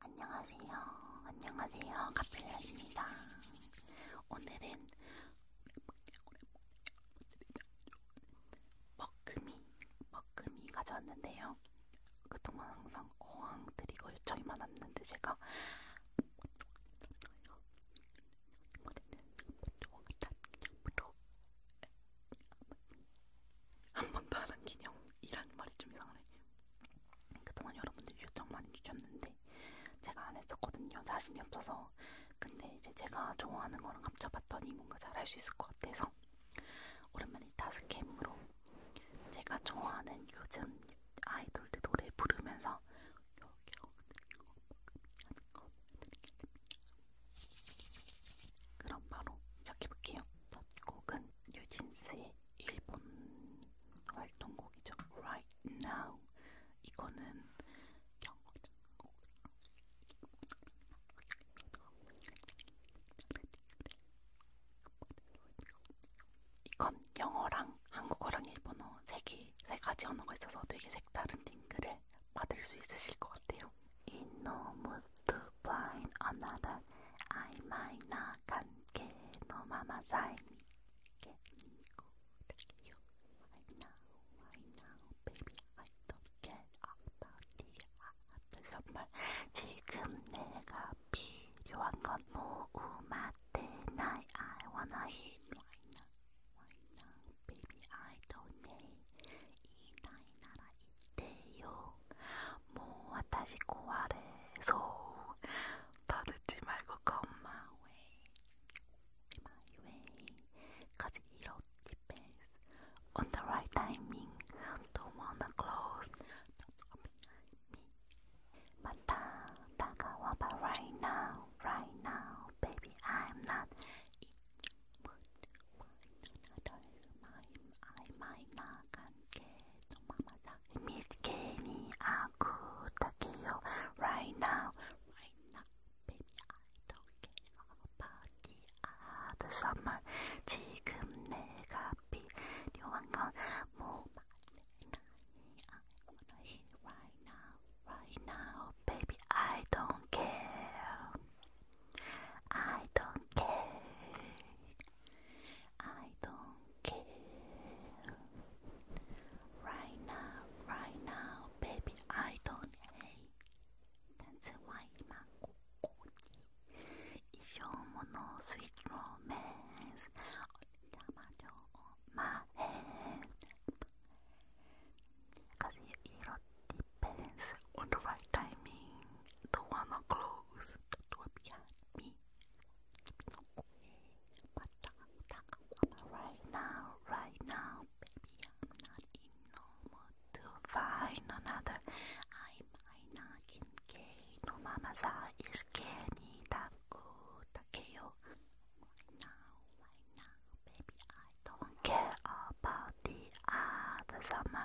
안녕하세요. 안녕하세요. 카필라입니다. 오늘은 먹금이, 먹금이 가져왔는데요. 그동안 항상 어항 드리고 요청이 많았는데 제가 한 번도 안한 기념 이라는 말이 좀 이상하네. 그동안 여러분들이 요청 많이 주셨는데 제가 안 했었거든요. 자신이 없어서. 근데 이제 제가 좋아하는 거랑 합쳐봤더니 뭔가 잘 할 수 있을 것 같아서 오랜만에 다스캠으로 제가 좋아하는 요즘 아이돌들 노래 부르면서 그럼 바로 시작해볼게요. 첫 곡은 뉴진스의 일본 활동곡이죠. Right Now 이거는 이건 영어랑 한국어랑 일본어 세개세 가지 언어가 있어서 되게 색다른 딩글을 받을 수 있으실 것 같아요. 이너무트 find another. I might not get no mama sign Get You. I know, I know, baby. I don't get about the after summer. 지금 내가 필요한 건 모음아 tonight. I wanna hit right now, right now, baby. I don't need 이때요. 뭐 다시 고아래서 다 듣지 말고 come my way, my way. Cause it all depends on the right timing. Don't wanna close, don't open me. 맞다, 다가와봐 right now, right now, baby. I'm not. I might not get to mama's 미스케니 아쿠타케요 right now right now baby I don't care about the other summer 지금 내가 필요한 건 뭐만 right now right now baby I don't care I don't care I don't care. Right now, right now, baby, I don't hate. 但は今ここに一生ものスイートロメンスお邪魔女お前 Cause you, you depends on the right timing, the one that close, that will be at me. I'm talking right now, right now, baby, I'm not in no mood to find another. I might not in gay, no mama that is canny, that good, that kill. Right now, right now, baby, I don't care about the other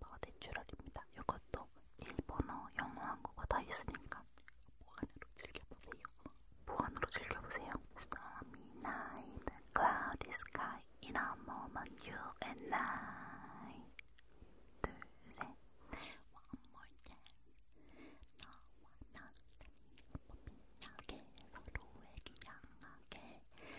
슈퍼내추럴입니다. 이것도 일본어, 영어, 한국어 다 있으니까 보안으로 즐겨보세요. 보안으로 즐겨보세요. Stormy night, cloudy sky, in a moment you and I. 둘, 셋, one more time. 너와 나 빛나게 서로에게 향하게 빛나게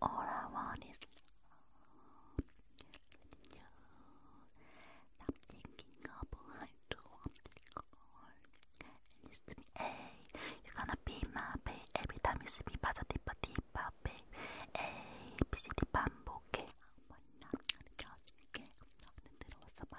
all I want is love. I'm thinking about to to And you see hey, you're gonna be my babe. Every time you see me, pasa tipa tipa, Hey, bisiti bambo, okay? I'm gonna judge you, I'm gonna do what's up my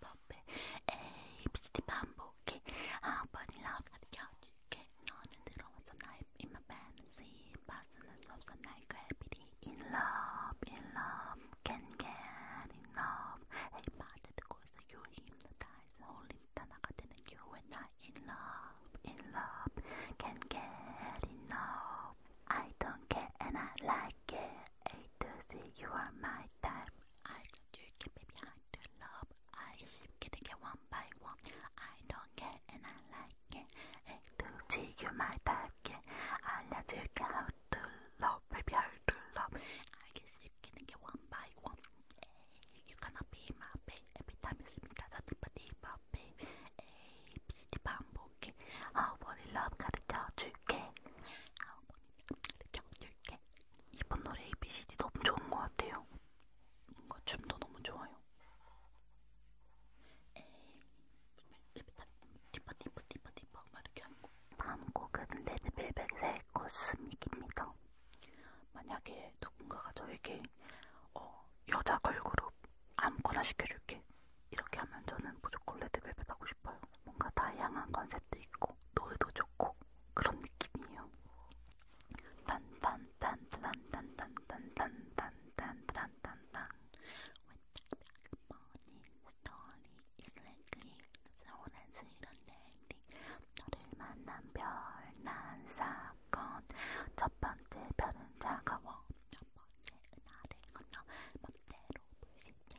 poppy, 에이 비스티 반복해 아버이 러브하기 게 너는 들어와서 나의 in my fantasy 벗어날 수 없어 나의 gravity in love, in love, can get enough 에이 마저 듣고 있어 you hypnotize 홀린 단어가 되는 you and I in love, in love, can get enough I don't care and I like it A to Z you are my type I don't you give me behind the love. I seem to get one by one. I don't care and I like it. And to you my target. I let you get how to love, baby how to love. I guess you can get one by one. Hey, you cannot be my babe. Every time you see me, that's a deeper, deeper, babe. Hey, bitch, the bamboo, okay? How about love, gotta tell you, okay? How about 짱짱게 이번 노래 ABCD 너무 좋은 것 같아요. 뭔가 춤도 너무 좋아요. 디퍼 디퍼 디퍼 디퍼 막 이렇게 하는 거. 다음 곡은 레드벨벳의 코스믹입니다. 만약에 누군가가 저에게 어, 여자 걸그룹 아무거나 시켜줄게 이렇게 하면 저는 무조건 레드벨벳 하고 싶어요. 뭔가 다양한 컨셉도 있고 노래도 좋고 그런 느낌이에요. 딴딴딴딴딴딴딴딴딴딴딴딴딴딴 머니 스토리 서운한 스런 랜딩 너를 만난 별난 사건 첫 번째 별은 차가워 첫 번째 은하를 건너 멋대로 불신자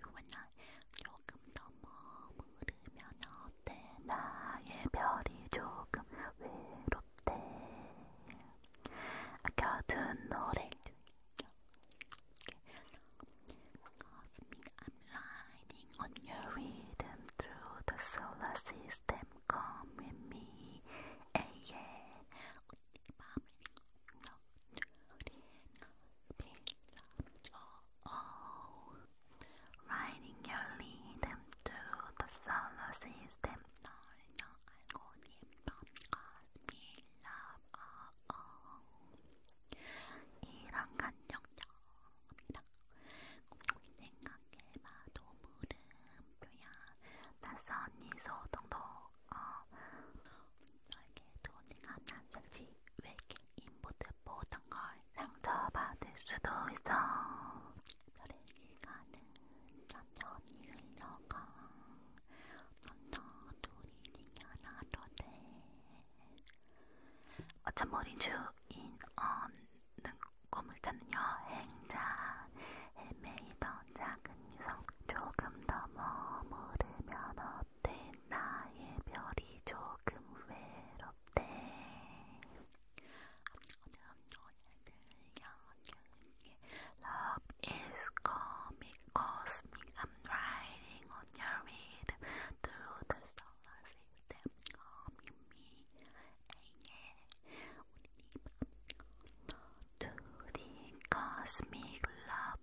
유원나 조금 더 머무르면 어때 나의 별이 조금 외롭대 아껴둔 노래 Cause me I'm lining on your rhythm through the solar system come with me yeah. Oh, oh. Riding your lead to the solar system. No, no, Oh, oh. 이런 감정적이라 곰곰이 생각해봐도 물음표야 낯선 이 소동도 너에게 도닝한 한상시 외계인보드보던 걸 상처받을 수도 있어 별의기 가는 천천히 흘러가 넌너 둘이 하나도 돼 어쩜 머리 주인 없는 꿈을 찾는 여행자 헤매이던 작은 유성 조금 더 머무르면 외롭대 나의 별이 조금 외롭대 Love is coming cosmic I'm riding on your rhythm Through the solar system Coming me yeah, yeah. 우리 네밤 둘이 cosmic love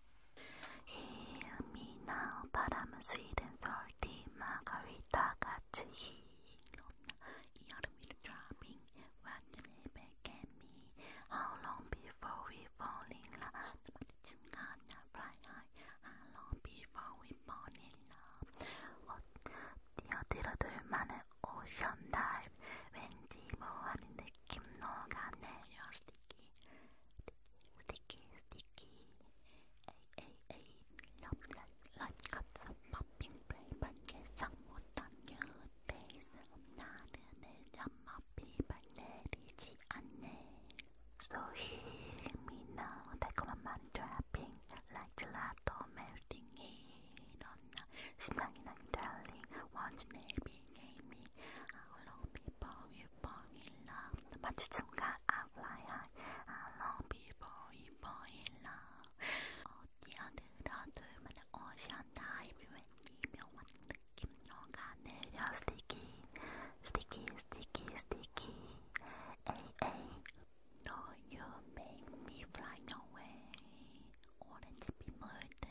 Hear me now, but I'm sweet and salty margarita 같이 이 얼음 위로 dropping When you lay back at me How long before we fall in love 나 마주친 거냐 fly high How long before we fall in love 어, 뛰어들어들 만한 오션 다이브 왠지 뭐하는 느낌 녹아내려 sticky Sticky, sticky. Ay, ay, ay. Love, love, Got some popping play, but yes, someone done your days. 나는 내잠마 비발내리지 않네. So hear me now. 달콤한 맘 dropping like gelato melting in on the 신나긴 한 darling. 원주 내 빙의 미. All of people will fall you don't fly high. I long you fall in love. 어디야 들어둘만 오션 타입 왠지 sticky sticky sticky sticky AA No you make me fly away 오렌지 피 물든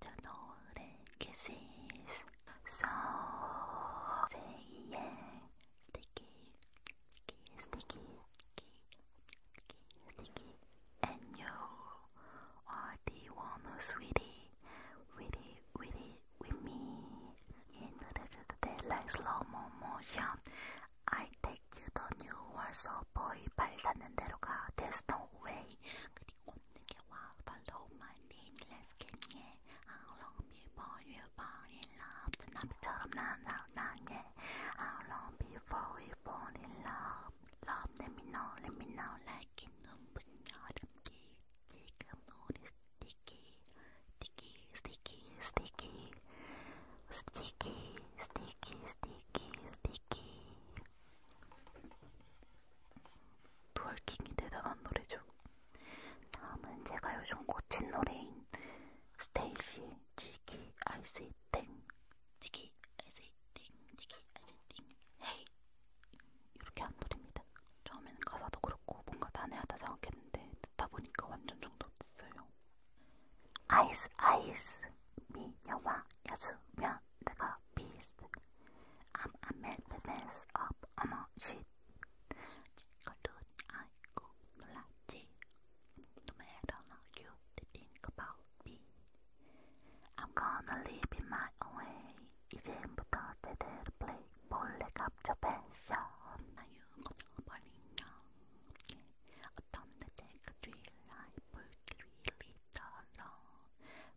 저 노을의 kisses so sticky, sticky, sticky, sticky, and you are the one who's really, really, really with me. In the like slow motion, I take you to new world, boy. 발사는 대로 가. There's no way. 그리고 없는 게 와. Follow my name. Let's get yeah. How long before you fall in love? 나비처럼 난 사랑해. How long before we fall in love? Love, let me know, let me know. Like in 눈부신 여름기. 지금 우리 sticky, sticky, sticky, sticky, sticky, sticky, sticky, sticky. 트월킹이 대단한 노래죠. 다음은 제가 요즘 꽂힌 노래인 스테이시 지기 아이스이 땡 지기 아이스이 땡 지기 아이스이 땡 헤이 이렇게 한 노래입니다. 처음에는 가사도 그렇고 뭔가 난해하다 생각했는데 듣다 보니까 완전 중독됐어요. 아이스 아이스 미녀와 야수면 내가 비스 I'm a mess up I'm a shit 친구도 아이고 놀랐지. No matter you think about me, I'm gonna live in my own way. 이제부터 제대로 play 몰래 갑쳐 패션. 나유 걷어버리냐. 어떤 내가 dream life really 달라.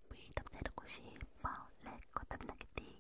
위담 새롭고 싶어. 내 거듭나게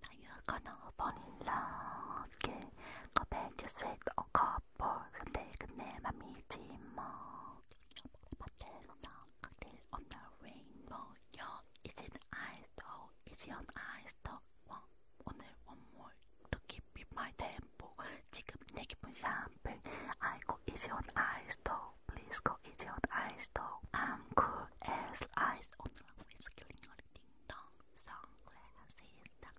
now you're gonna fall in love again. Go back to straight or couple. So take a name, I'm eating more. on the rainbow. Yo, is it eyes though? Is it on eyes though? One, 오늘 one more to keep in my tempo. 지금 내 기분 샴페인. I go easy on eyes though. Please go easy on eyes though. I'm cool as ice on always killing all the ding dong sunglasses. Chicky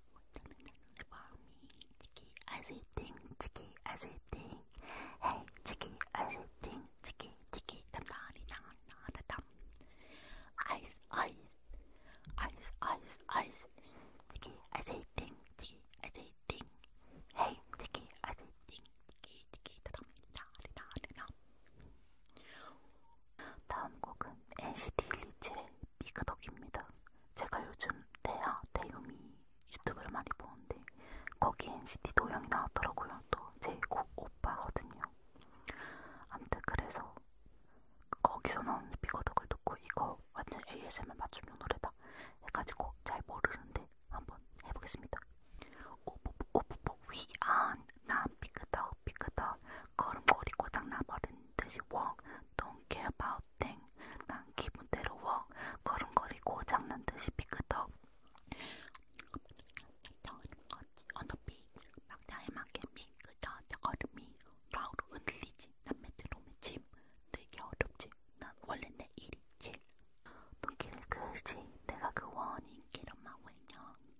as a ding, chicky as a ding. Hey, chicky as a ding, chicky, chicky, dum da da dum. Ice, ice, ice, ice, ice. Chicky as a ding, chicky as a ding. Hey, chicky as a ding, chicky, chicky, dum da da da. 다음 곡은 NCT 127의 미그덕입니다. 제가 요즘 대야, 대유미 유튜브를 많이 보는데 거기 NCT 도영이 나왔더라고요. 또제 오빠거든요. 아무튼 그래서 거기서 나온 미그덕을 듣고 이거 완전 ASMR 맞춤용 노래다 해가지고 잘 모르는데 한번 해보겠습니다. 오보보 오보보 위안 난 삐끄덕 삐끄덕 걸음걸이 고장 나버린 듯이 walk Don't care about thing 난 기분대로 walk 걸음걸이 고장 난 듯이 삐끄덕 저거지 언더비 막자에 맞게 미끄저 저걸음이 좌우로 흔들리지 난 메트로맨 짐 되게 어렵지 난 원래 내 일이지 눈길을 그지 내가 그 원인 길은 망 왜냐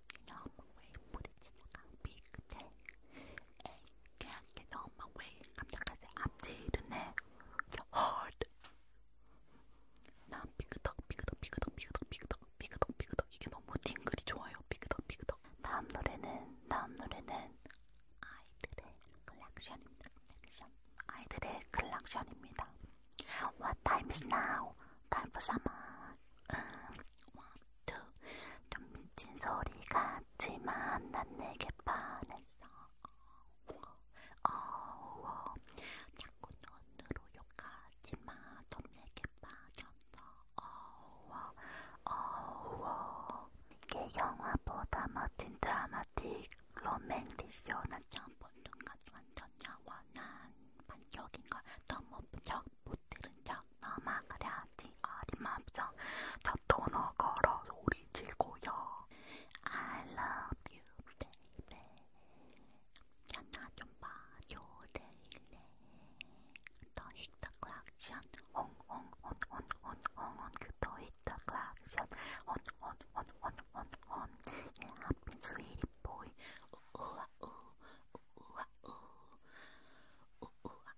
on my way. 부딪히다가 B 끝에 A can't get on my way. 깜짝하세 앞뒤를 내. Hard. 난 비그덕 비그덕 비그덕 비그덕 비그덕 비그덕 비그덕 이게 너무 딩글이 좋아요. 비그덕 비그덕. 다음 노래는 다음 노래는 아이들의 컬렉션입니다. 컬렉션. 아이들의 컬렉션입니다. What time is now? Time for summer. 음, 좀 미친 소리 같지만 난 내게 반했어 어워 자꾸 눈으로 욕하지마 넌 내게 빠졌어 어워 어워 이게 영화보다 멋진 드라마틱 로맨티쇼 난 처음 본순간 완전 영원한 반격인걸 너무 부적 못 들은 척 넘어가려지 어림없어 벽토너 걸어 소리 질고요 I love you baby 야나 좀 봐줘 데일리 더 히터 클락션 홍홍온온온온온 그더 히터 클락션 온온온온온온 예 하피 스위리 보이 우우아 우우아 우우아 우우아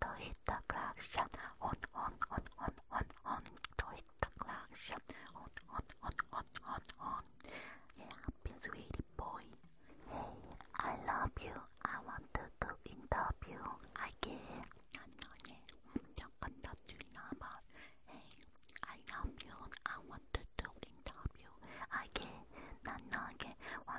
To hit the claction, on, on, on, on, on, on. To hit the claction, on, on, on, on, on, on. Yeah, happy sweetie boy. Hey, I love you. I want to do interview. I care. Hey, I love you. I want to do interview. I care.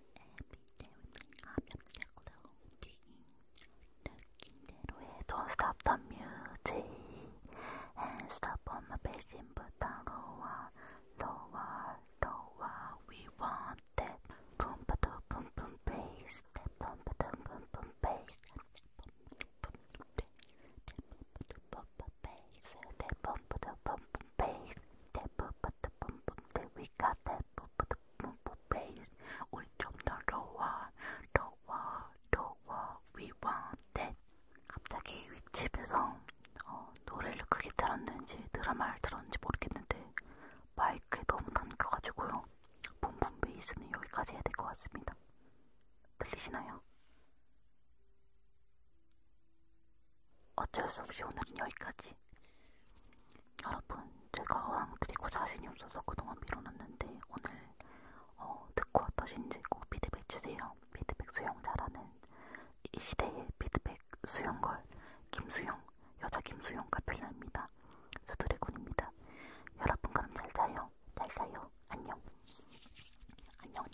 앱이 재밌는 압력적으로 움직인 느낌대로 해 Don't stop the music and stop on my bass input lower, lower, lower We want that boom ba doo boom boom bass That boom ba doo boom boom bass That boom ba doo boom boom bass That boom ba doo boom boom bass That boom we got that bass. 우리 좀더 lower, lower, lower, we want that. 갑자기 윗집에서 어, 노래를 크게 들었는지 드라마를 들었는지 모르겠는데 마이크에 너무 담겨가지고요. 붐붐 베이스는 여기까지 해야 될 것 같습니다. 들리시나요? 어쩔 수 없이 오늘은 여기까지. 여러분, 제가 어랑 드리고 자신이 없어서 그동안 미뤄놨는데 오늘 어, 듣고 어떠신지 꼭 피드백 주세요. 피드백 수영 잘하는 이 시대의 피드백 수영걸 김수영, 여자 김수영 카필라입니다. 수드래곤입니다. 여러분 그럼 잘 자요. 잘 자요. 안녕. 안녕.